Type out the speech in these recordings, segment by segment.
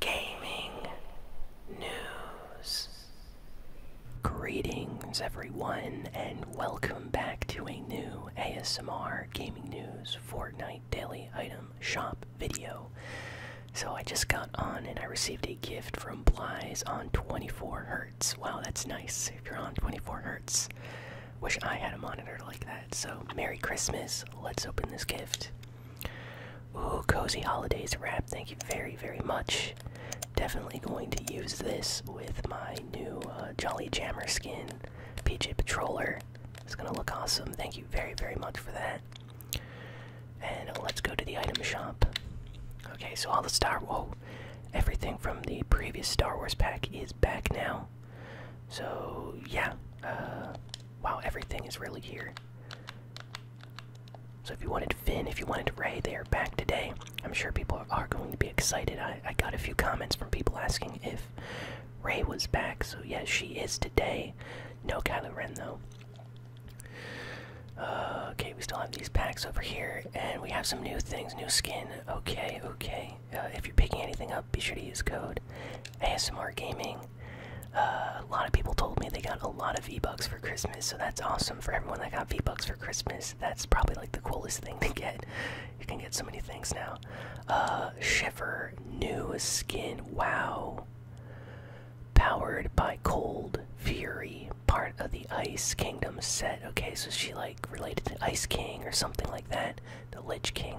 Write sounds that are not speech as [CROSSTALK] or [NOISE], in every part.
gaming news. Greetings, everyone, and welcome back to a new ASMR Gaming News Fortnite Daily Item Shop video. So, I just got on and I received a gift from Bly's on 24 Hertz. Wow, that's nice if you're on 24 Hertz, Wish I had a monitor like that. So, Merry Christmas. Let's open this gift. Ooh, cozy holidays wrap. Thank you very, very much. Definitely going to use this with my new uh, Jolly Jammer skin, PJ Patroller. It's gonna look awesome. Thank you very, very much for that. And let's go to the item shop. Okay, so all the Star Whoa, everything from the previous Star Wars pack is back now. So yeah, uh, wow, everything is really here. So if you wanted Finn, if you wanted Ray, they are back today. I'm sure people are going to be excited. I, got a few comments from people asking if Ray was back. So yes, she is today. No Kylo Ren though. Uh, okay, we still have these packs over here, and we have some new things, new skin. Okay, okay. Uh, if you're picking anything up, be sure to use code ASMR Gaming uh, a lot of people told me they got a lot of V-Bucks for Christmas, so that's awesome for everyone that got V-Bucks for Christmas. That's probably like the coolest thing to get. You can get so many things now. Uh, Shiver, new skin, wow. Powered by Cold Fury, part of the Ice Kingdom set. Okay, so she like related to Ice King or something like that. The Lich King.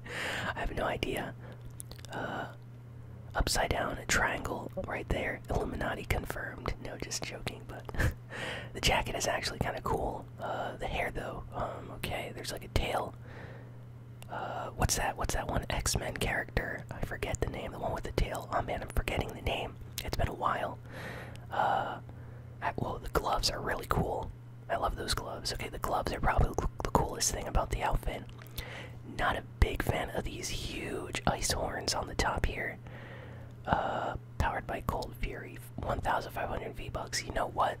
[LAUGHS] I have no idea. Uh, upside down, a triangle right there. Illuminati confirmed. No, just joking, but [LAUGHS] the jacket is actually kind of cool. Uh, the hair, though, um, okay, there's like a tail. Uh, what's that? What's that one X Men character? I forget the name. The one with the tail. Oh man, I'm forgetting the name. It's been a while. Uh, the gloves are really cool. I love those gloves. Okay, the gloves are probably the coolest thing about the outfit. Not a big fan of these huge ice horns on the top here. Uh, powered by Cold Fury, 1,500 V bucks. You know what?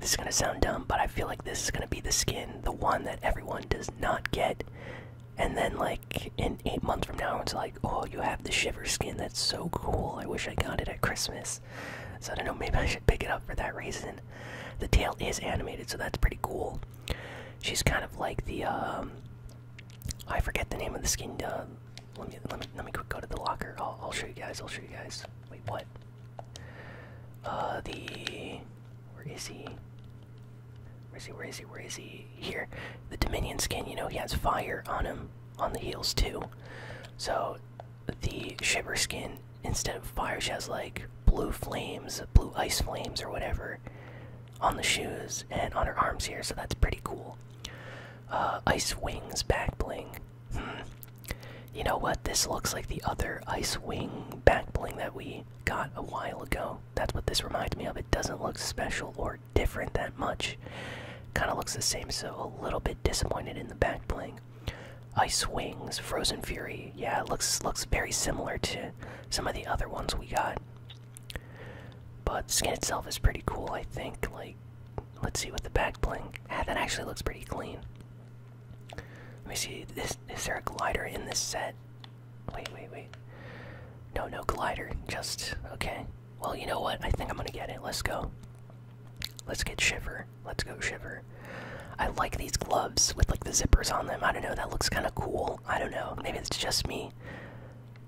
This is gonna sound dumb, but I feel like this is gonna be the skin, the one that everyone does not get. And then, like, in eight months from now, it's like, oh, you have the Shiver skin. That's so cool. I wish I got it at Christmas. So I don't know, maybe I should pick it up for that reason. The tail is animated, so that's pretty cool. She's kind of like the um, I forget the name of the skin. Uh, let me let me let me quick go to the locker. I'll show you guys. I'll show you guys. Wait, what? Uh, the where is he? Where is he? Where is he? Where is he? Here, the Dominion skin. You know he has fire on him on the heels too. So the shiver skin instead of fire she has like blue flames blue ice flames or whatever on the shoes and on her arms here so that's pretty cool uh, ice wings back bling hmm. you know what this looks like the other ice wing back bling that we got a while ago that's what this reminds me of it doesn't look special or different that much kind of looks the same so a little bit disappointed in the back bling. Ice Wings, Frozen Fury. Yeah, looks looks very similar to some of the other ones we got. But the skin itself is pretty cool, I think. Like, let's see what the back bling. Ah, that actually looks pretty clean. Let me see. Is, is there a glider in this set? Wait, wait, wait. No, no glider. Just okay. Well, you know what? I think I'm gonna get it. Let's go. Let's get Shiver. Let's go Shiver. I like these gloves with like the zippers on them. I don't know. That looks kind of cool. I don't know. Maybe it's just me.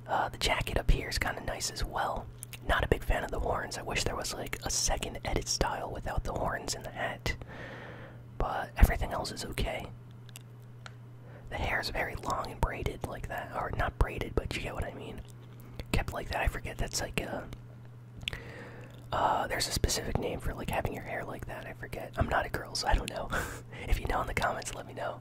Uh, the jacket up here is kind of nice as well. Not a big fan of the horns. I wish there was like a second edit style without the horns and the hat. But everything else is okay. The hair is very long and braided like that. Or not braided, but you get what I mean kept like that. I forget that's like a. Uh, there's a specific name for like having your hair like that. I forget. I'm not a girl, so I don't know. [LAUGHS] if you know in the comments, let me know.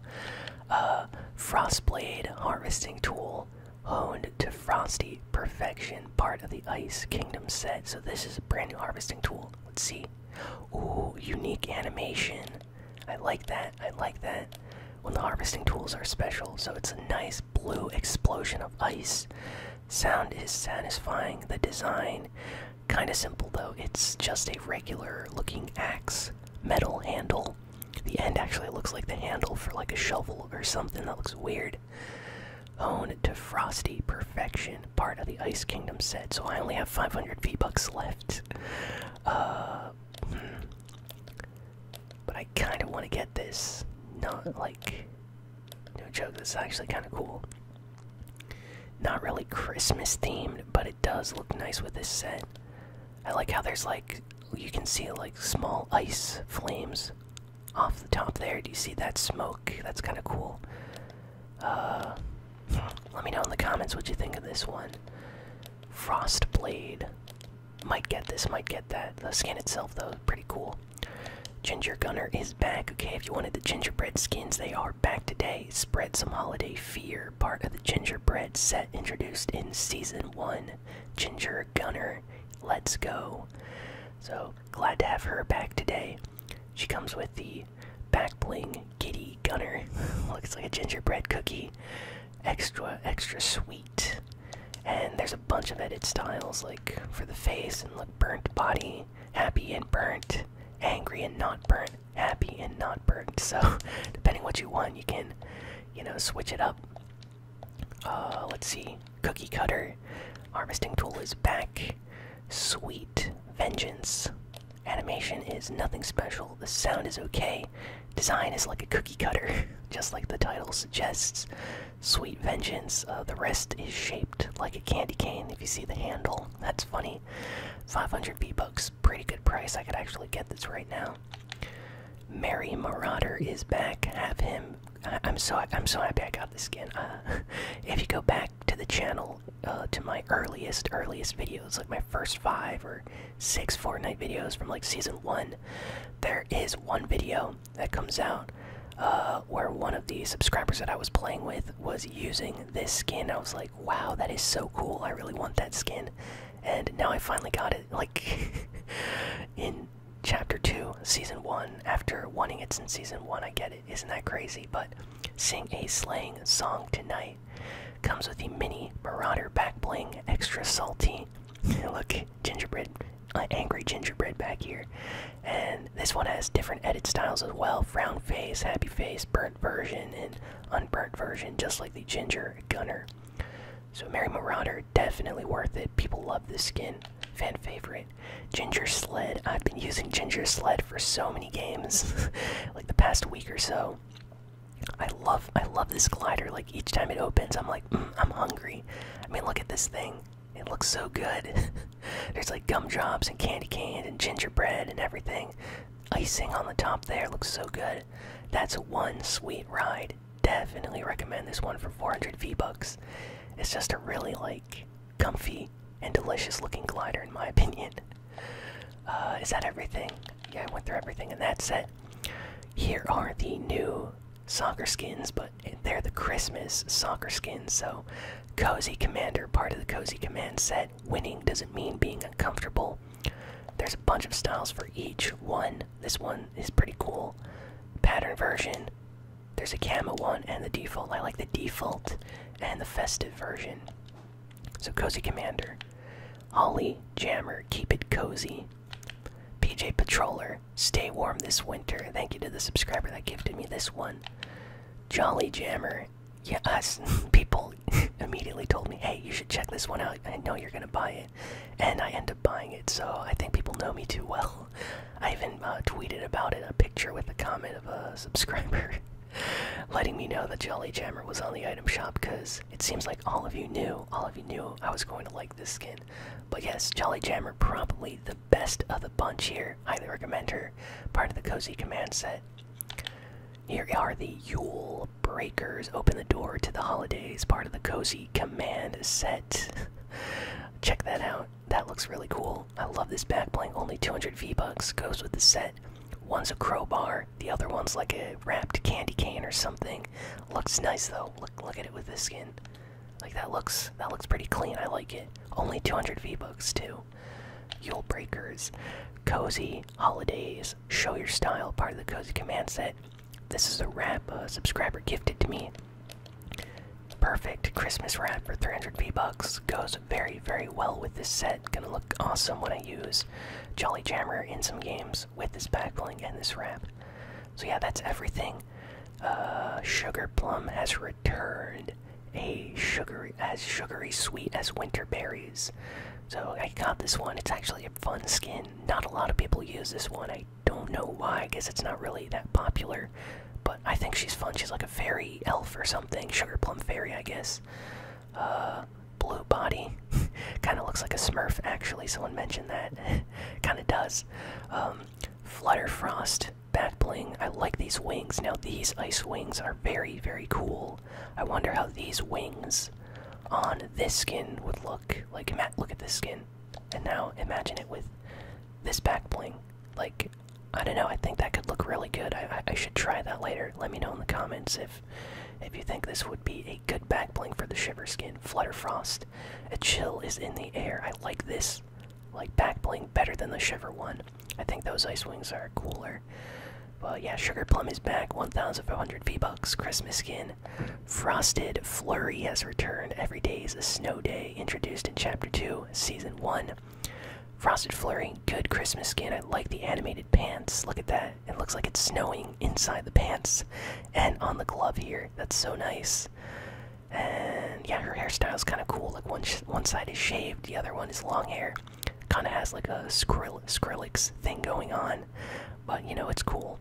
Uh, frost blade harvesting tool honed to frosty perfection. Part of the Ice Kingdom set. So this is a brand new harvesting tool. Let's see. Ooh, unique animation. I like that. I like that. When the harvesting tools are special, so it's a nice blue explosion of ice. Sound is satisfying. The design, kind of simple though. It's just a regular looking axe, metal handle. The end actually looks like the handle for like a shovel or something. That looks weird. Hone to frosty perfection, part of the Ice Kingdom set. So I only have 500 V bucks left. Uh, but I kind of want to get this. Not like. No joke, this is actually kind of cool. Not really Christmas themed, but it does look nice with this set. I like how there's like. You can see like small ice flames off the top there. Do you see that smoke? That's kind of cool. Uh, let me know in the comments what you think of this one. Frost Blade, Might get this, might get that. The skin itself, though, pretty cool. Ginger Gunner is back. Okay, if you wanted the gingerbread skins, they are back today. Spread some holiday fear. Part of the gingerbread set introduced in season one. Ginger Gunner, let's go. So glad to have her back today. She comes with the back bling giddy gunner. [LAUGHS] Looks like a gingerbread cookie extra extra sweet and there's a bunch of edit styles like for the face and look burnt body happy and burnt angry and not burnt happy and not burnt [LAUGHS] so depending what you want you can you know switch it up uh, let's see cookie cutter harvesting tool is back sweet vengeance Animation is nothing special, the sound is okay, design is like a cookie cutter, [LAUGHS] just like the title suggests. Sweet Vengeance, uh, the rest is shaped like a candy cane if you see the handle. That's funny. 500 V-Bucks, pretty good price, I could actually get this right now. Mary Marauder is back, have him. I am so I'm so happy I got this skin. Uh, [LAUGHS] if you go back to the channel, uh, to my earliest, earliest videos, like my first five or six Fortnite videos from like season one, there is one video that comes out uh, where one of the subscribers that I was playing with was using this skin. I was like, wow, that is so cool. I really want that skin. And now I finally got it, like, [LAUGHS] in chapter 2, season 1. After wanting it since season 1, I get it. Isn't that crazy? But sing a slang song tonight. Comes with the mini Marauder back bling, extra salty. Look, gingerbread, uh, angry gingerbread back here. And this one has different edit styles as well frown face, happy face, burnt version, and unburnt version, just like the ginger gunner. So, Merry Marauder, definitely worth it. People love this skin. Fan favorite. Ginger Sled. I've been using Ginger Sled for so many games, [LAUGHS] like the past week or so. I love I love this glider. Like each time it opens, I'm like, mm, I'm hungry. I mean, look at this thing. It looks so good. [LAUGHS] There's like gumdrops and candy cane and gingerbread and everything. Icing on the top there looks so good. That's one sweet ride. Definitely recommend this one for 400 V-Bucks. It's just a really like comfy and delicious looking glider, in my opinion. Uh, is that everything? Yeah, I went through everything, and that's it. Here are the new soccer skins, but they're the Christmas soccer skins. So, Cozy Commander, part of the Cozy Command set. Winning doesn't mean being uncomfortable. There's a bunch of styles for each one. This one is pretty cool. Pattern version. There's a camo one and the default. I like the default and the festive version. So Cozy Commander, Holly Jammer, keep it cozy. PJ Patroller, stay warm this winter. Thank you to the subscriber that gifted me this one. Jolly Jammer, yeah, [LAUGHS] people [LAUGHS] immediately told me, hey, you should check this one out. I know you're gonna buy it, and I end up buying it. So I think people know me too well. [LAUGHS] I even uh, tweeted about it, a picture with a comment of a subscriber letting me know that Jolly Jammer was on the item shop because it seems like all of you knew, all of you knew I was going to like this skin. But yes, Jolly Jammer, probably the best of the bunch here. Highly recommend her. Part of the cozy command set. Here are the Yule Breakers. Open the door to the holidays. Part of the cozy command set. [LAUGHS] Check that out. That looks really cool. I love this backplate. Only 200 V-Bucks goes with the set. One's a crowbar, the other one's like a wrapped candy cane or something. Looks nice though. Look look at it with this skin. Like that looks that looks pretty clean. I like it. Only 200 V-Bucks too. Yule Breakers. Cozy Holidays. Show Your Style, part of the Cozy Command set. This is a wrap a uh, subscriber gifted to me. Perfect Christmas wrap for 300 v Goes very, very well with this set. Gonna look awesome when I use Jolly Jammer in some games with this backlink and this wrap. So yeah, that's everything. Uh, Sugar Plum has returned. A sugary, as sugary sweet as winter berries. So I got this one. It's actually a fun skin. Not a lot of people use this one. I don't know why, because it's not really that popular. But I think she's fun. She's like a fairy elf or something. Sugar plum fairy, I guess. Uh, blue body. [LAUGHS] kind of looks like a smurf, actually. Someone mentioned that. [LAUGHS] kind of does. Um, Flutterfrost. back bling. I like these wings. Now, these ice wings are very, very cool. I wonder how these wings on this skin would look. Like, look at this skin. And now imagine it with this back bling. Like, I don't know. I think that could look really good. I, should try that later. Let me know in the comments if if you think this would be a good back bling for the Shiver skin. Flutter Frost. A chill is in the air. I like this like back bling better than the Shiver one. I think those ice wings are cooler. Well, yeah, Sugar Plum is back. 1,500 V-Bucks. Christmas skin. Frosted Flurry has returned. Every day is a snow day. Introduced in Chapter 2, Season 1. Frosted Flurry, good Christmas skin. I like the animated pants. Look at that. It looks like it's snowing inside the pants and on the glove here. That's so nice. And yeah, her hairstyle's kind of cool. Like one one side is shaved, the other one is long hair. Kind of has like a Skrill Skrillex thing going on, but you know it's cool.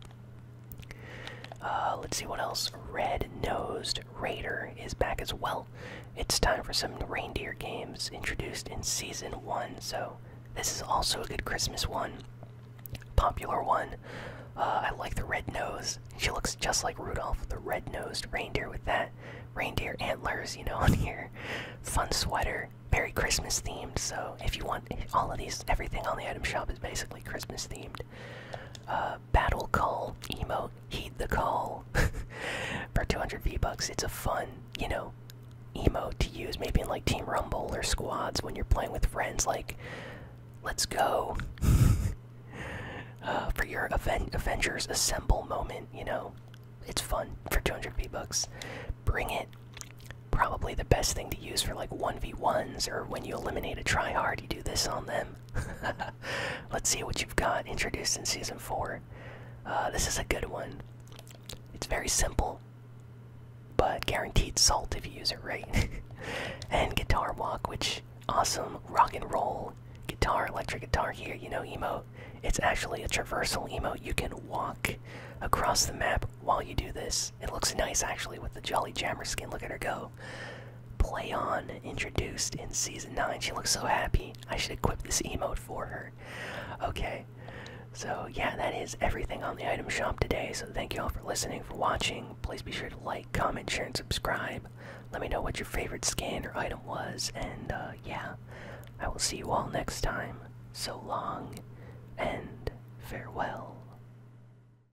Uh, let's see what else. Red nosed Raider is back as well. It's time for some reindeer games introduced in season one, so this is also a good Christmas one. Popular one. Uh, I like the red nose. She looks just like Rudolph, the red nosed reindeer with that reindeer antlers, you know, [LAUGHS] on here. Fun sweater. Very Christmas themed, so if you want all of these, everything on the item shop is basically Christmas themed. Uh, Battle Call emo. heed the call. [LAUGHS] For 200 V-Bucks, it's a fun, you know, emo to use maybe in like Team Rumble or squads when you're playing with friends. Like, let's go. [LAUGHS] Uh, for your Aven Avengers Assemble moment, you know, it's fun for 200 V-Bucks. Bring it. Probably the best thing to use for like 1v1s or when you eliminate a tryhard, you do this on them. [LAUGHS] Let's see what you've got introduced in season four. Uh, this is a good one. It's very simple, but guaranteed salt if you use it right. [LAUGHS] and guitar walk, which awesome rock and roll guitar, electric guitar here. You know, emo. It's actually a traversal emo. You can walk across the map while you do this. It looks nice actually with the Jolly Jammer skin. Look at her go so play on introduced in season 9 she looks so happy i should equip this emote for her okay so yeah that is everything on the item shop today so thank you all for listening for watching please be sure to like comment share and subscribe let me know what your favorite skin or item was and uh, yeah i will see you all next time so long and farewell